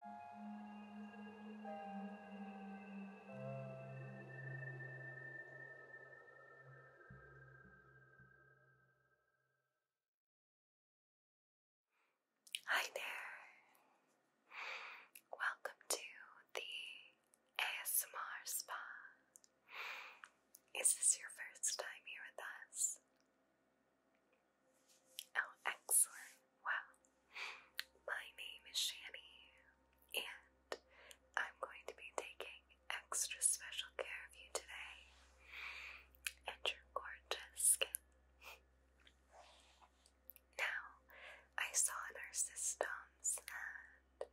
Hi there. Welcome to the ASMR Spa. Is this your first time here with us? Oh, excellent. Well, my name is Shani, and I'm going to be taking extra special care of you today and your gorgeous skin. Now, I saw in our systems that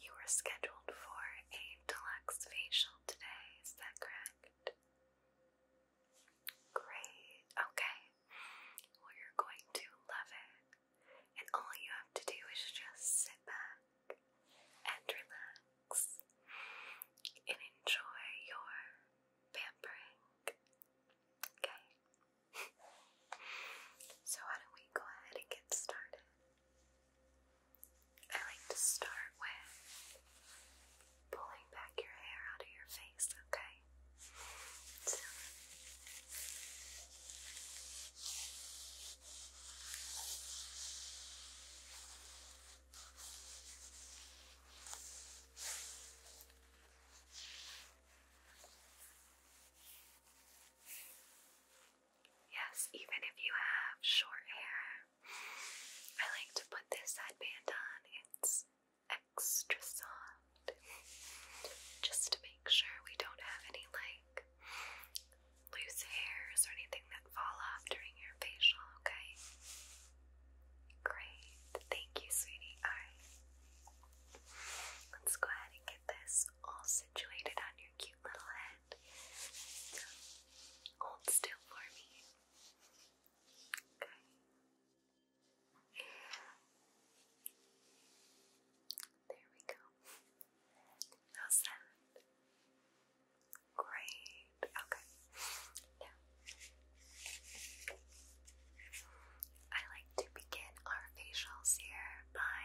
you were scheduled for a deluxe facial today, is that correct? Great. Okay. you're going to love it. And all you have to do is just sit back and relax and enjoy your pampering. Okay. so, why don't we go ahead and get started? I like to start with pulling back your hair out of your face, okay? Yes, even if you have short hair, I like to put this headband on. It's extra soft just to make sure we don't have any like loose hairs or anything that fall off during your facial, okay? Great. Thank you, sweetie. Alright. Let's go ahead and get this all situated on your cute little head. hold still for me. Okay. There we go. How's that? Great. Okay. Now, I like to begin our facials here by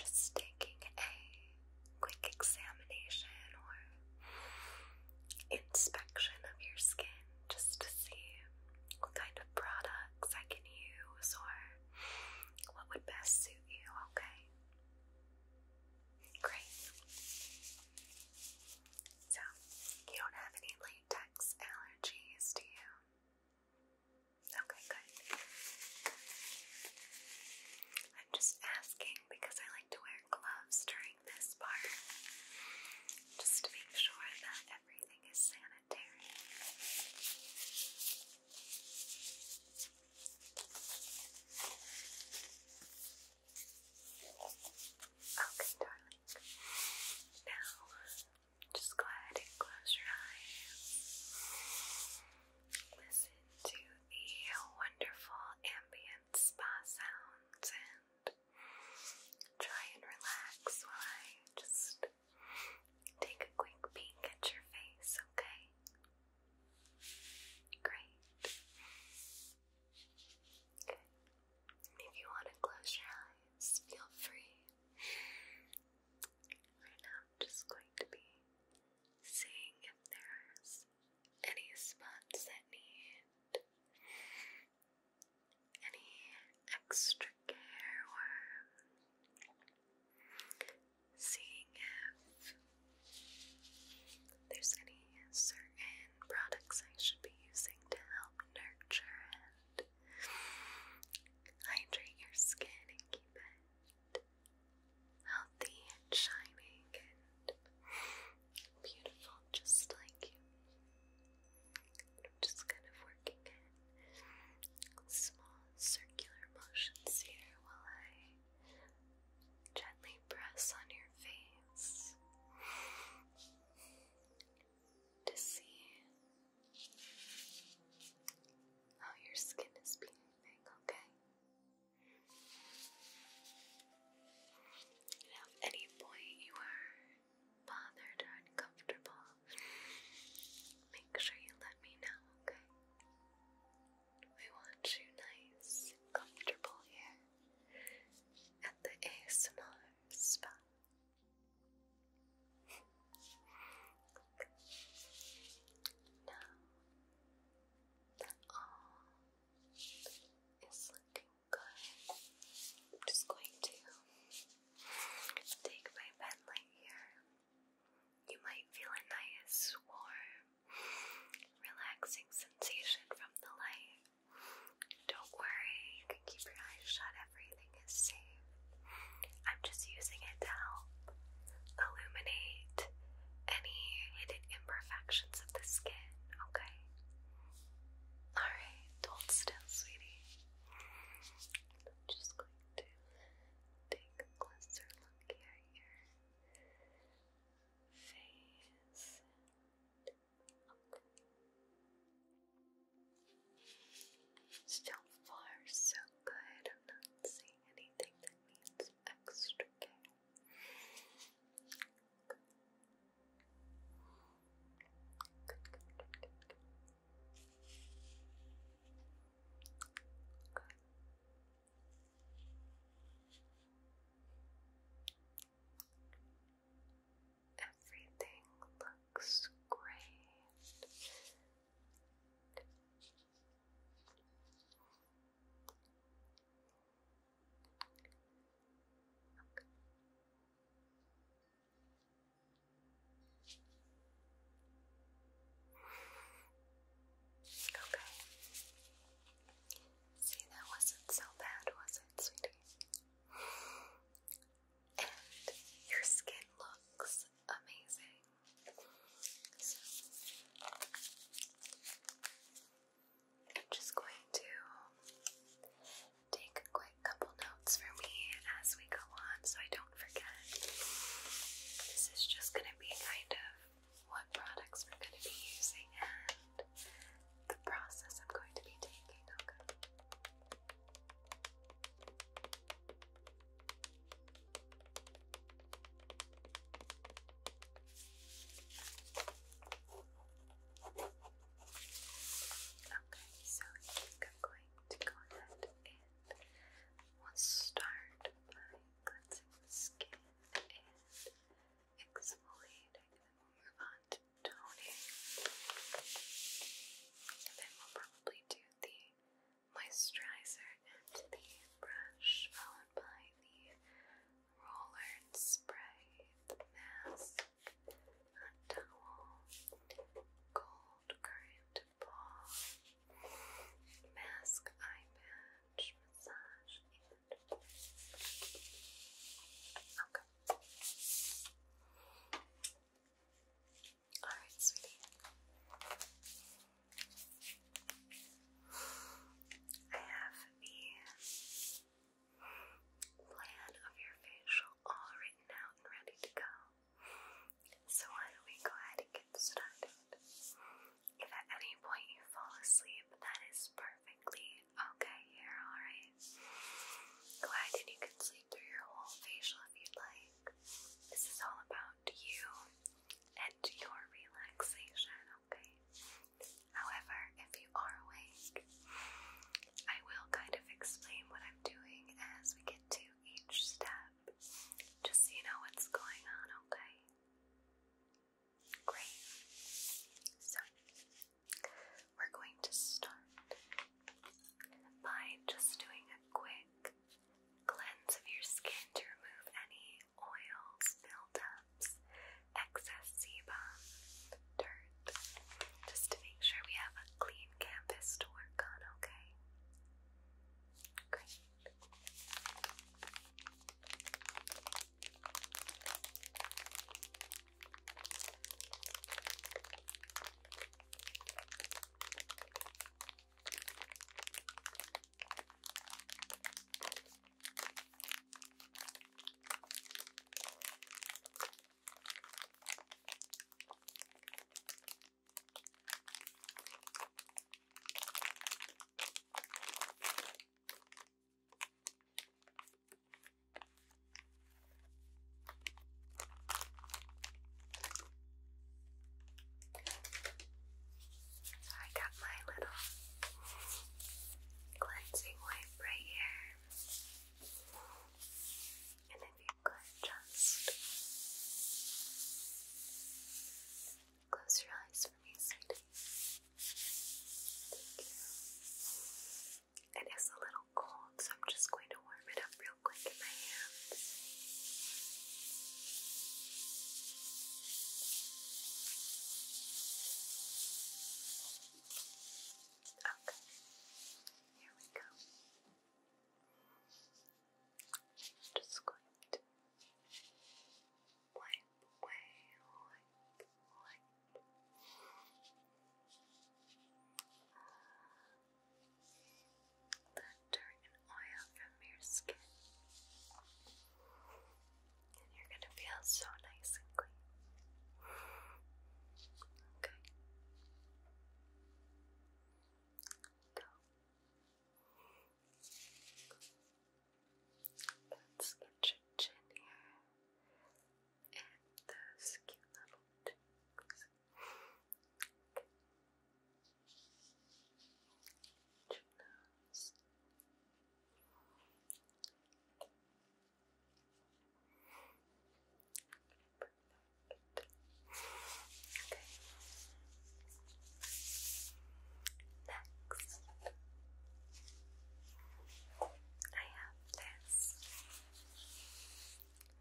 just taking a quick examination or inspection of your skin just to see what kind of products I can use or what would best suit you, okay? Great. So, you don't have any latex allergies, do you? Okay, good. I'm just asking because I like to wear gloves during this part just make sure that everything is sanitary. Okay, darling. Now, just go ahead and close your eyes. Listen to the wonderful ambient spa sounds and and try and relax while I just take a quick peek at your face, okay? Great. Good. If you want to close your eyes, feel free. Right now, I'm just going to be seeing if there's any spots that need any extra care or seeing if there's any certain products I should be using to help nurture and hydrate your skin and keep it healthy and shining and Beautiful, just like you. I'm just kind of working in small circular motions here while I gently press on your face to see how your skin is behaving, okay? And at any point you are bothered uncomfortable, make sure you let me know, okay? We want you nice comfortable here at the ASMR spa. now that all is looking Good. I'm just going to take my pen light here. You might feel a nice, warm, relaxing sensation from the light. Don't worry, you can keep your eyes shut, everything is safe. I'm just using it to help illuminate any hidden imperfections of the skin, okay? Alright. Don't stand, sweetie. I'm just going to take a closer look at your face. Still far so good. I'm not seeing anything that needs extra care. Everything looks great. Okay. See, that wasn't so bad, was it, sweetie? And your skin looks amazing. I'm just going to take a quick couple notes for me as we go on so I don't forget. This is just going to be kind of what products we're going to be using and the process I'm going to be taking, okay? Okay, so I think I'm going to go ahead and start by cleansing the skin and exfoliating, then we'll move on to toning. And then we'll probably do the moisturizer and the brush, followed by the roller and spray, mask, a towel, cold current ball, mask, eye massage, okay. All right, sweetie. I have the plan of your facial all written out and ready to go. So why don't we go ahead and get started? If at any point you fall asleep, that is perfectly okay here, alright? Go ahead and you can sleep through your whole facial if you'd like. This is all about you and your relaxation, okay? However, if you are awake, I will kind of explain what I'm doing as we get to each step, just so you know what's going on, okay? Great. So, we're going to start by just doing a quick cleanse of your skin to remove any oils, buildups, excess sebum, just to make sure we have a clean canvas to work on, okay? Great. So I got my little cleansing wipe right here. And if you could just close your eyes for me, sweetie. It is a little cold, so I'm just going to warm it up real quick in my hands. Okay. Here we go. just going to wipe away, wipe, wipe. The dirt and oil from your skin. And you're going to feel so nice and clean. Okay. Go. Let's get your chin here and those cute little cheeks. Okay. Your Perfect. Okay. Next, I have this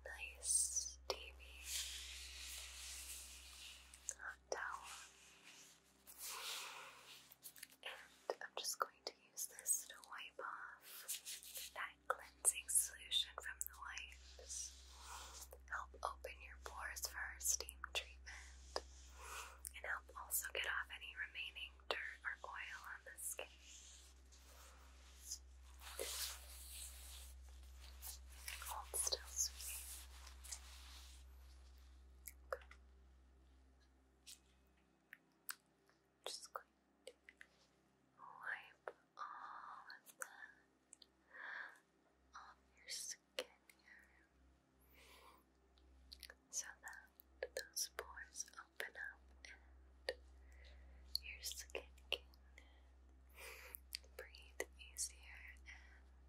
nice steamy hot towel, and I'm just going to use this to wipe off that cleansing solution from the wipes. Help open your pores for steam treatment and help also get off any remaining dirt or oil on the skin. Hold still, sweetie just going to wipe all of that off your skin here so that those pores open up and your skin can breathe easier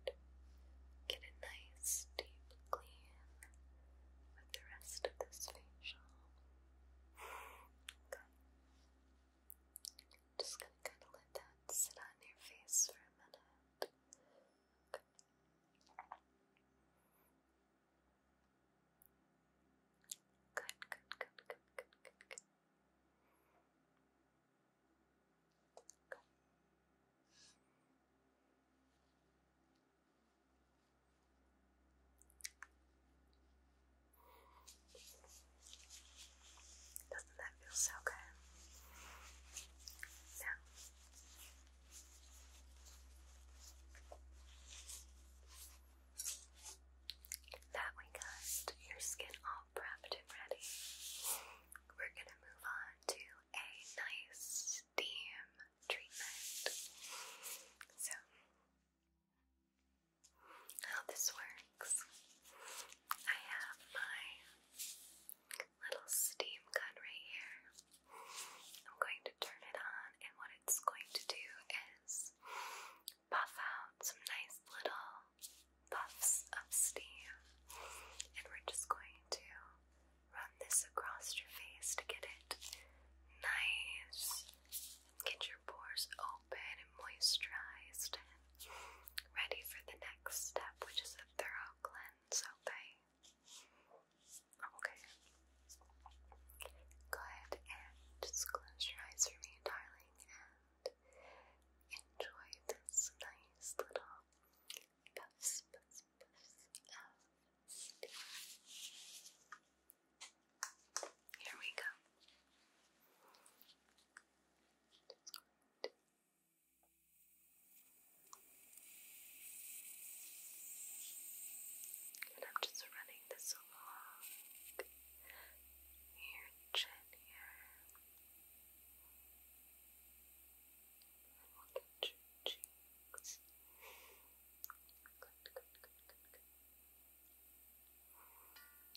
and get a nice deep clean with the rest of this facial just gonna kind of let that sit on your face for a minute. Good, good, good, good, good, good, good. Doesn't that feel so good? Now, that we got your skin all prepped and ready, we're going to move on to a nice steam treatment. So, how this works. I have my little steam gun right here. I'm going to turn it on, and what it's going to do is puff out some nice little puffs of steam. And we're just going to run this across your face to get it nice. Get your pores open and moisturized and ready for the next step, which is a thorough cleanse, okay? Go ahead and just close your eyes for me, darling, and enjoy this nice little puffs, puffs, puffs of steam. Here we go. And I'm just running this along your chin here. And we cheeks and your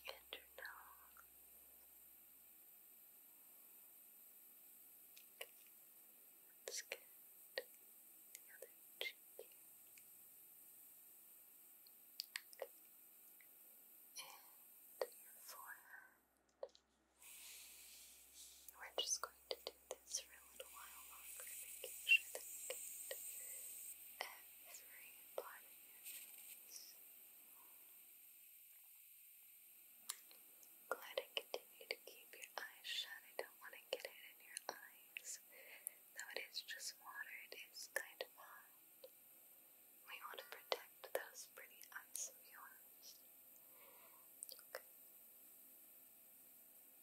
nose. The other cheek. And your forehead. We're just going to do this for a little while longer, making sure that get every part of your face. continue to keep your eyes shut. I don't want to get it in your eyes. Though it is just water, it is kind of hot. We want to protect those pretty eyes of yours. Okay.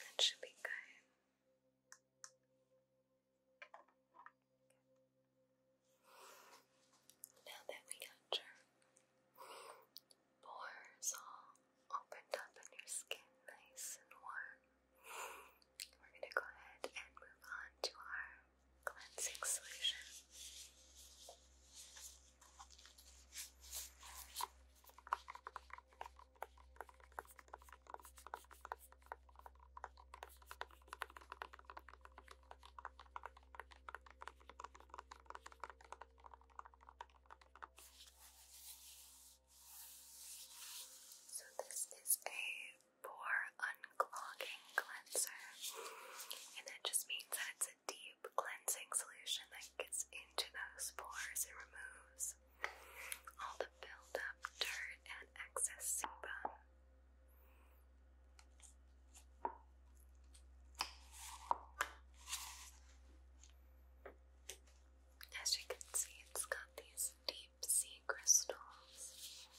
That should be good. Now that we got your pores all opened up and your skin nice and warm, we're going to go ahead and move on to our cleansing solution. So, this is a pore unclogging cleanser, and that just means that it's deep cleansing solution that gets into those pores and removes all the buildup, dirt, and excess sebum. As you can see, it's got these deep sea crystals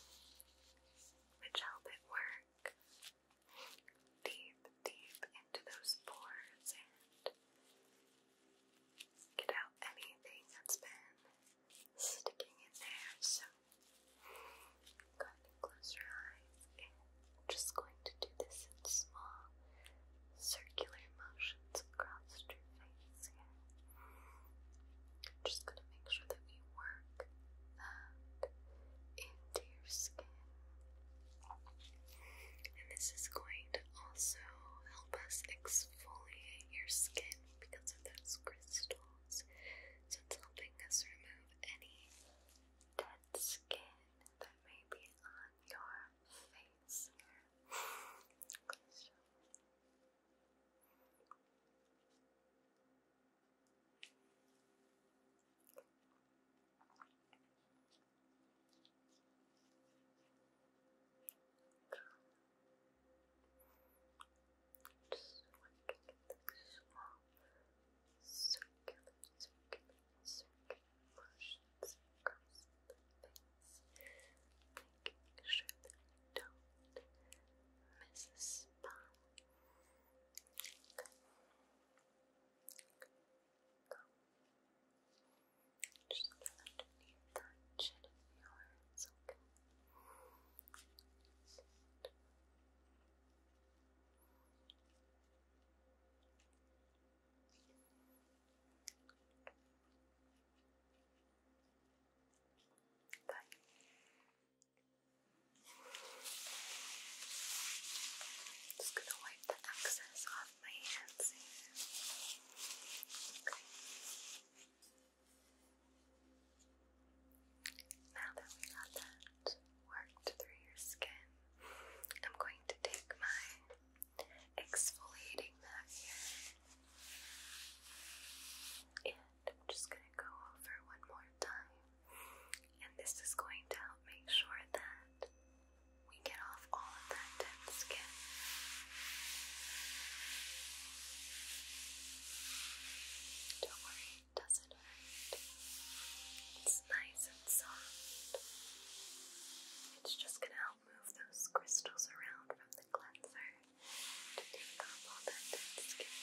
which help it work deep, deep into those pores and get out anything that's been sticking in there. So, go ahead close your eyes, and I'm just going to do this in small circular motions across your face just going to make sure that we work that into your skin. And this is going to also help us exfoliate your skin because of those crystals. So it's helping us remove any dead skin that may be on your face. Just want to get the small circular, circular, circular motions across the face, making sure that you don't miss a spot. Go. underneath that chin of yours, okay? Good. Good. Just gonna the excess off my hands Now that we got that worked through your skin, I'm going to take my exfoliating mat here. And just going to go over one more time and this is going to help make sure that we get off all of that dense skin. Don't worry, doesn't hurt. It's nice and soft. It's just going to help move those crystals around from the cleanser to take off all that dense skin.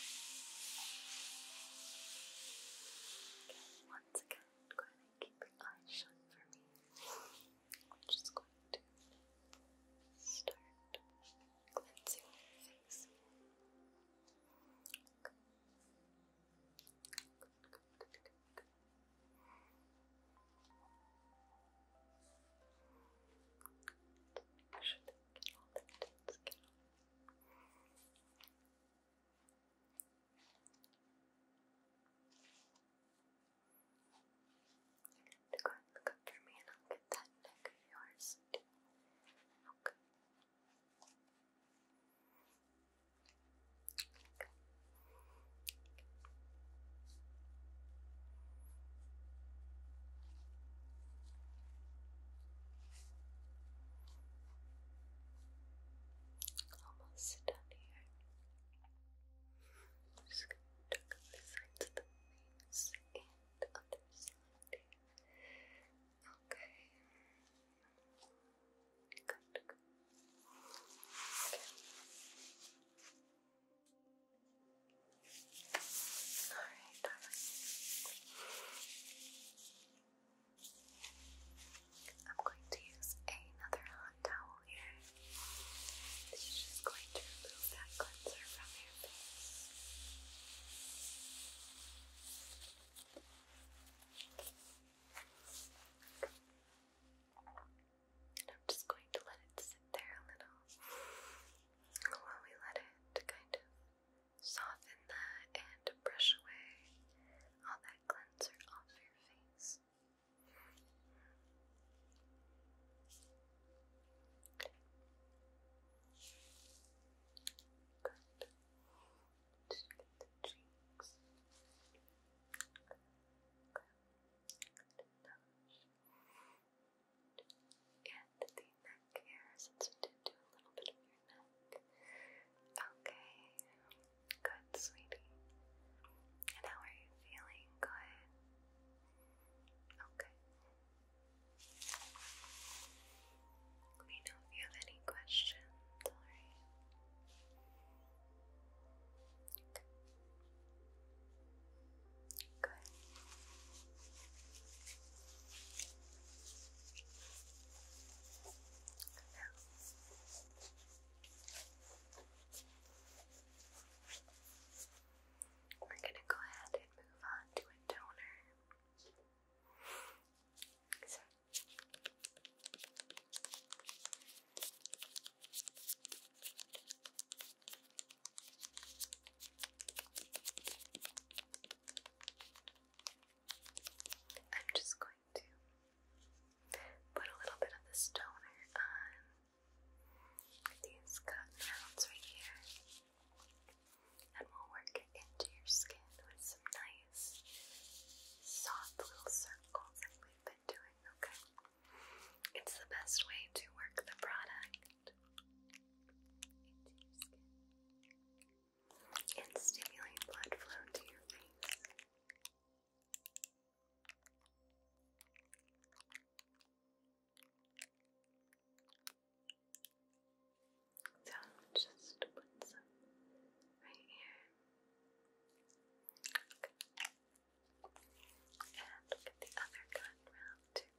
Okay, once again, go ahead keep your eyes shut for me. I'm just going to start cleansing your face. Okay. Good, you get all the intense, to go and look up me and I'll get that neck of yours Okay we'll sit down here. I'm just going to tuck up the sides the wings and other side. Okay. Okay. Alright, I'm going to use another hot towel here. This is just going to remove that cleanser from your And I'm just going to let it sit there a little while we let it kind of soften that and brush away all that cleanser off your your And the neck here, since we did do a little bit of your neck. Okay, good, sweetie. And how are you feeling? Good. Okay. Let me know if you have any questions, Okay. Good. Now, we're going to go ahead and move on to a toner. I'm just going to put a little bit of the stoner on these cotton right here. And we'll work it into your skin with some nice soft little circles like we've been doing, okay? It's the best way to work the product into your skin and stimulate blood flow to your face. So i just put some right here. And look the other gun round too.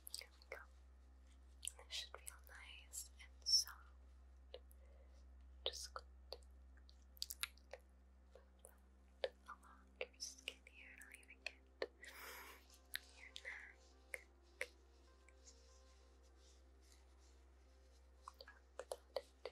Here we go. This should feel nice and soft. Just going along your skin here, leaving it your neck. Tuck that into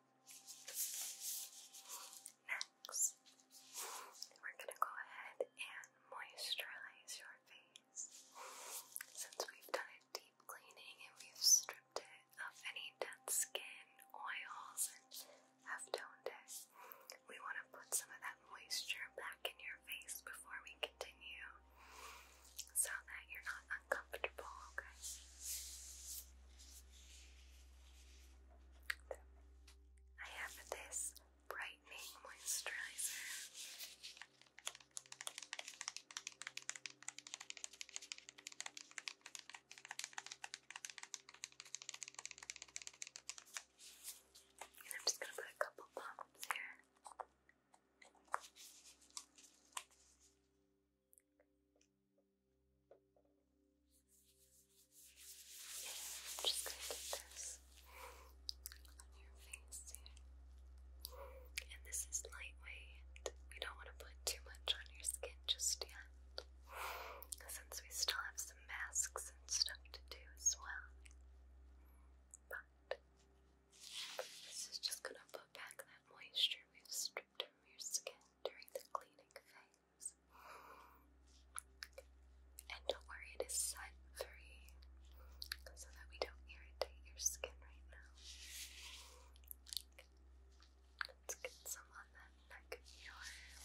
Next, we're going to go ahead and moisturize your face. Since we've done a deep cleaning and we've stripped it of any dead skin, oils, and have toned it, we want to put some of that moisture back in your face before we continue so that you're not uncomfortable, okay? I have this brightening moisturizer. And I'm just going to put a couple pumps here just going to get this on your face And this is lightweight. We don't want to put too much on your skin just yet. Since we still have some masks and stuff to do as well. But this is just going to put back that moisture we've stripped from your skin during the cleaning phase eyes. And don't worry, it is sun free so that we don't irritate your skin right now. Let's get some on that neck of yours.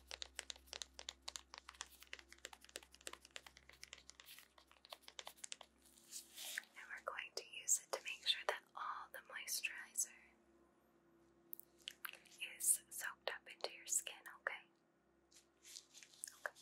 And we're going to use it to make sure that all the moisturizer is soaked up into your skin, okay? Okay.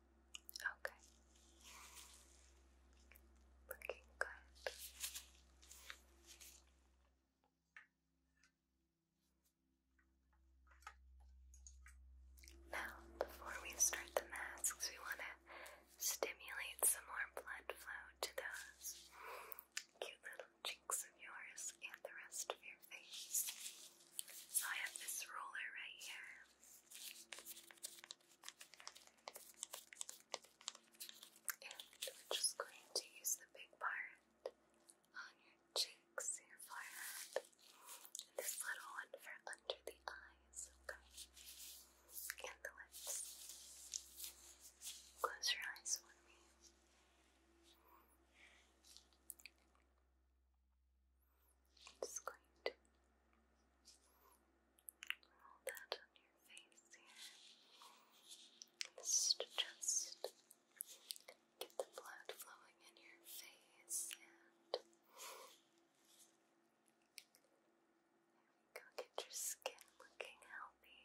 Okay. Looking good. Now, before we start the masks, we want to stimulate some more blood flow to those cute little cheeks of yours and the rest of your face. So I have this roller right here we're just going to use the big part on your cheeks, your forehead, and this little one for under the eyes, And the lips. Close your eyes for me. Just going to roll that on your face here. This is just get the blood flowing in your face and go, get your skin looking healthy.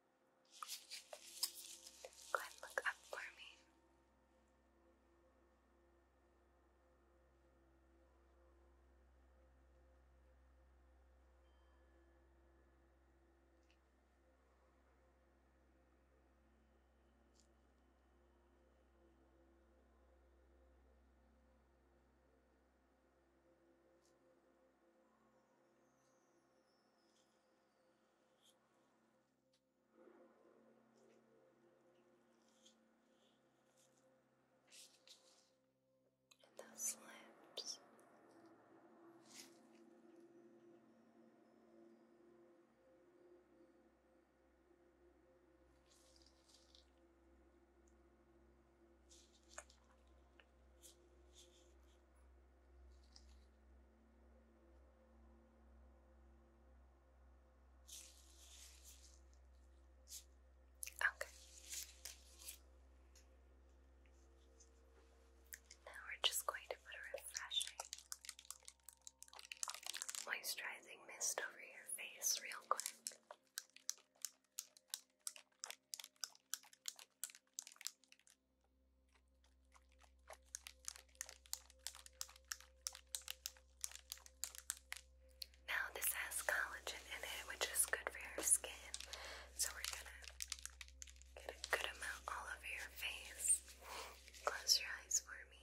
Go ahead and look up for me and those lips. Okay. Now we're just going to put a refreshing moisturizing mist over your face real quick. Now, this has collagen in it, which is good for your skin. So, we're gonna get a good amount all over your face. Close your eyes for me.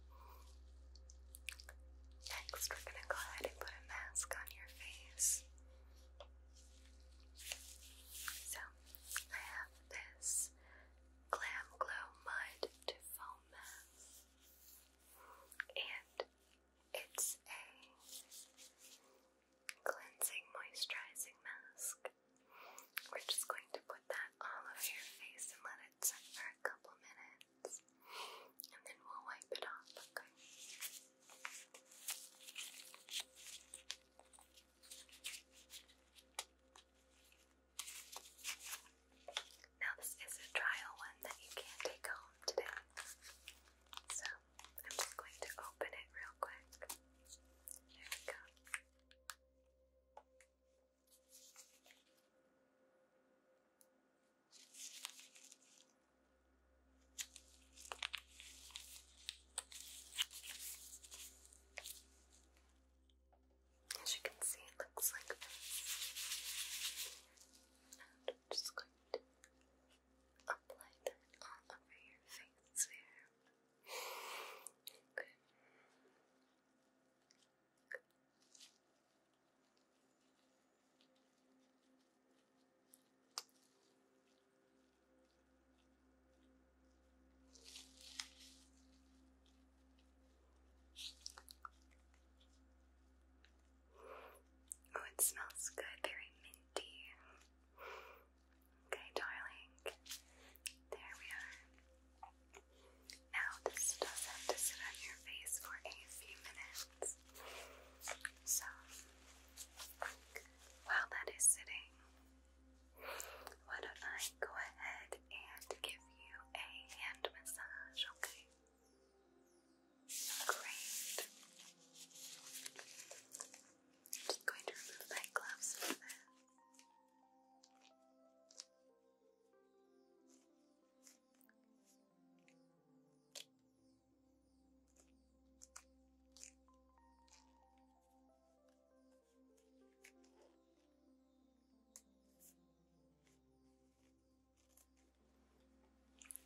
Next, we're going to go ahead and put a mask on your face. So, I have this Glam Glow Mud Foam Mask, and it's a cleansing, moisturizing mask. We're just going to put that all over your face and let it set for a couple minutes and then we'll wipe it off, okay? Now, this is a trial one that you can't take home today. So, I'm just going to open it real quick. There we go. As you can see, it looks like this. I'm just going to apply that all over your face here. Good. Oh, it smells good, very minty. Okay, darling. There we are. Now, this does have to sit on your face for a few minutes. So, while that is sitting, why don't I go ahead and give you a hand massage, okay? Great. just going to remove my gloves for that.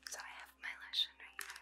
So I have my lotion right here.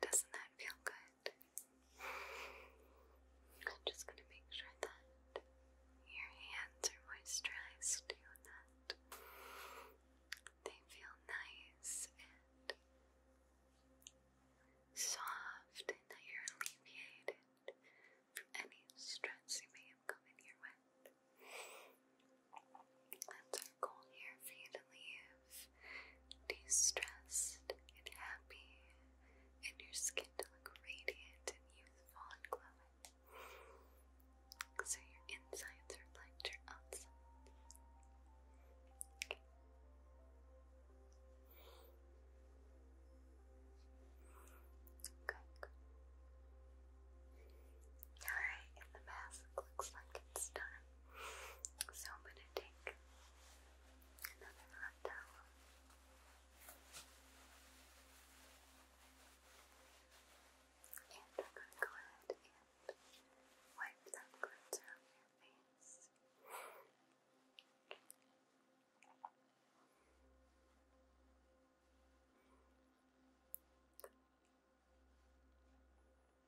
Doesn't that feel good? I'm just going to make sure that your hands are moisturized that they feel nice and soft, and that you're alleviated from any stress you may have come in here with cool air for you to leave de-stressed and happy and your skin to look radiant and youthful and glowing. So your insides reflect your outsides. Okay. Alright, and the mask looks like it's done. So I'm going to take another hot towel. And I'm going to go ahead and wipe that glitter off your face.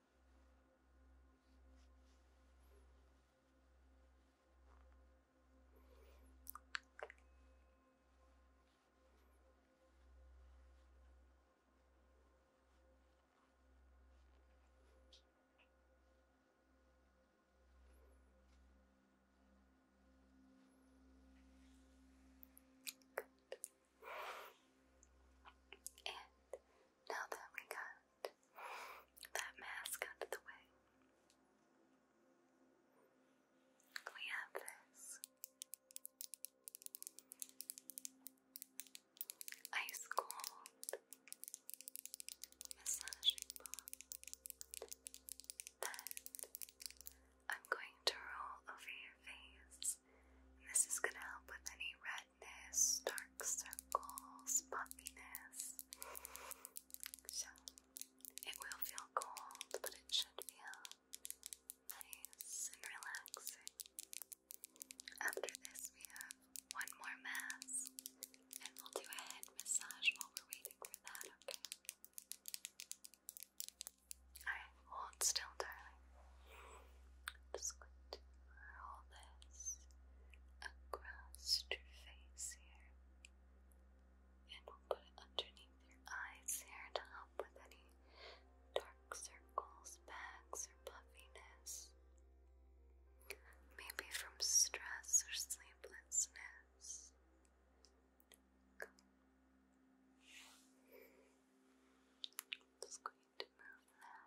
Good. And now that we got that mask out of the way, we have this ice cold massaging ball that I'm going to roll over your face. And this is going to help with any red dark circles, puffiness. So it will feel cold, but it should feel nice and relaxing. After this, we have one more mask, and we'll do a head massage while we're waiting for that, okay? Alright, hold still, darling. Just going to roll this across your face here. And we'll put it underneath your eyes here to help with any dark circles, bags, or puffiness. Maybe from stress or sleeplessness. just going to move that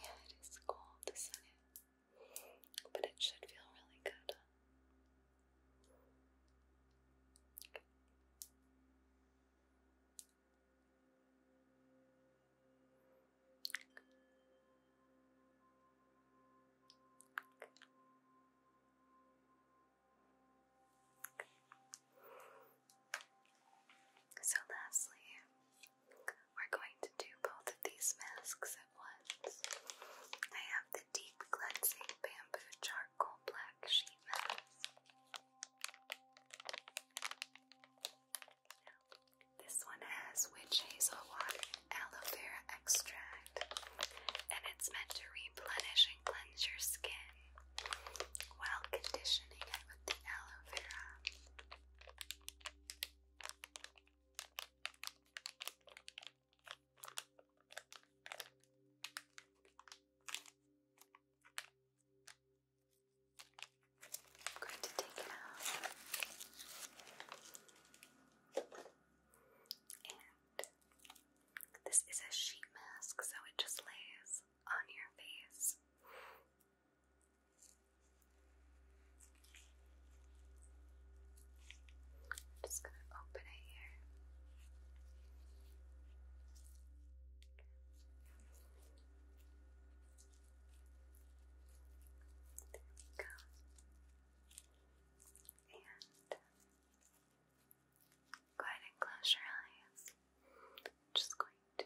Yeah, it is cold, isn't it? But it should feel really good. So, lastly, we're going to do both of these masks at once. I have the Deep Cleansing Bamboo Charcoal Black Sheet Mask. this one has witch hazel water and aloe vera extract, and it's meant to replenish and cleanse your skin while conditioning it with the aloe vera. I'm going to take it out and this is a sheet mask so it just lays on your face I'm just going to open it here. go. And go ahead and close your eyes. just going going to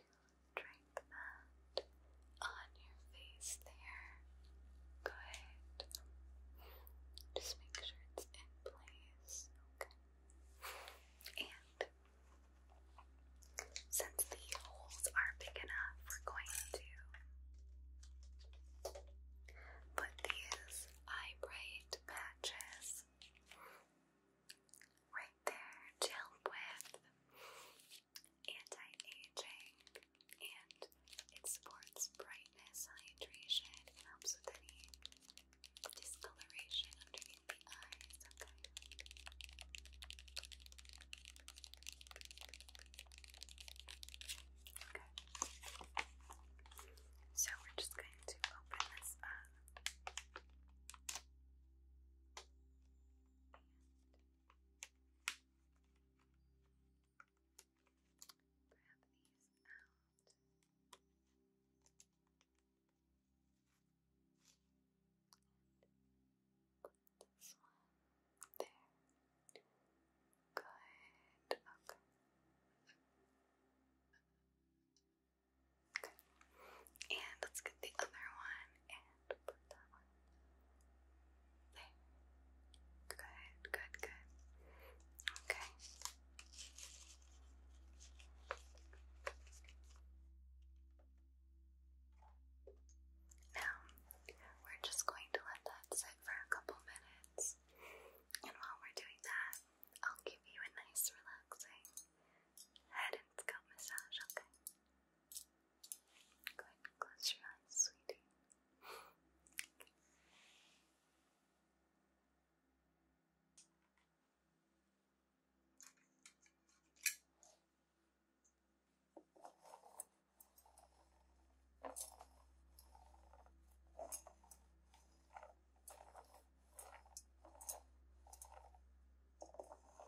drape that on your face there. Good. Just make sure it's in place. And since the holes are big enough, we're going to put these eye patches right right there to with anti-aging and it supports brightness, hydration, and helps with any discoloration underneath the eyes, Okay. So we're just going to open this up. And grab these out. And this one there. Good. Okay. Good. And let's get the other one and put that one there. Good, good, good. Okay. Now, we're just going to let that sit for a couple minutes. And while we're doing that, I'll give you a nice relaxing head and scalp massage, okay? Go ahead close your eyes, sweetie.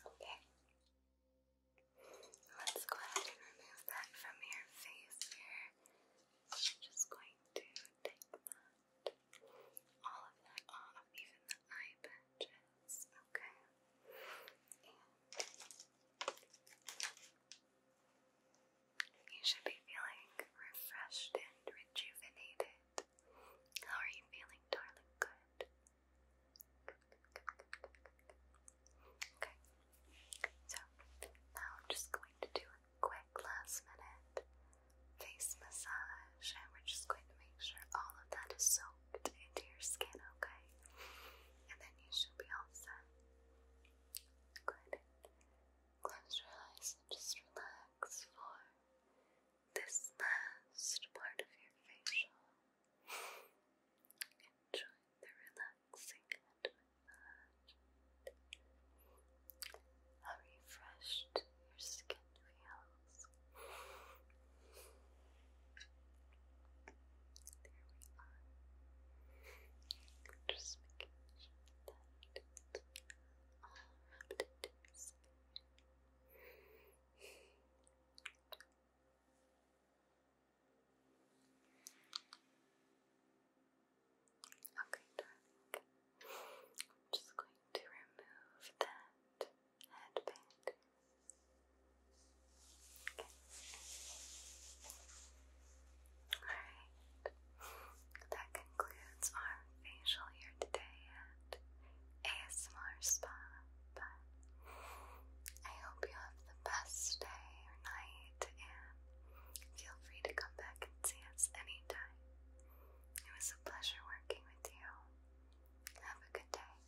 Okay. Let's go ahead and remove that from your face here i just going to take all of that off, even the eye patches, okay? you should be feeling refreshed and rejuvenated. How are you feeling, darling? good. Okay, so now I'm just going to do a quick last minute face massage and we're just going to make sure all of that is soaked into your skin, okay? And then you should be all set. Good. Close your eyes and just relax for this last part of your facial. Enjoy the relaxing head How refreshed your skin feels. There we are. Just making sure that it's all rubbed into Okay, just going to remove that headband. Okay. Alright. That concludes our facial here today at ASMR Spa. But I hope you have the best day or night and Feel free to come back and see us anytime. It was a pleasure working with you. Have a good day. Bye.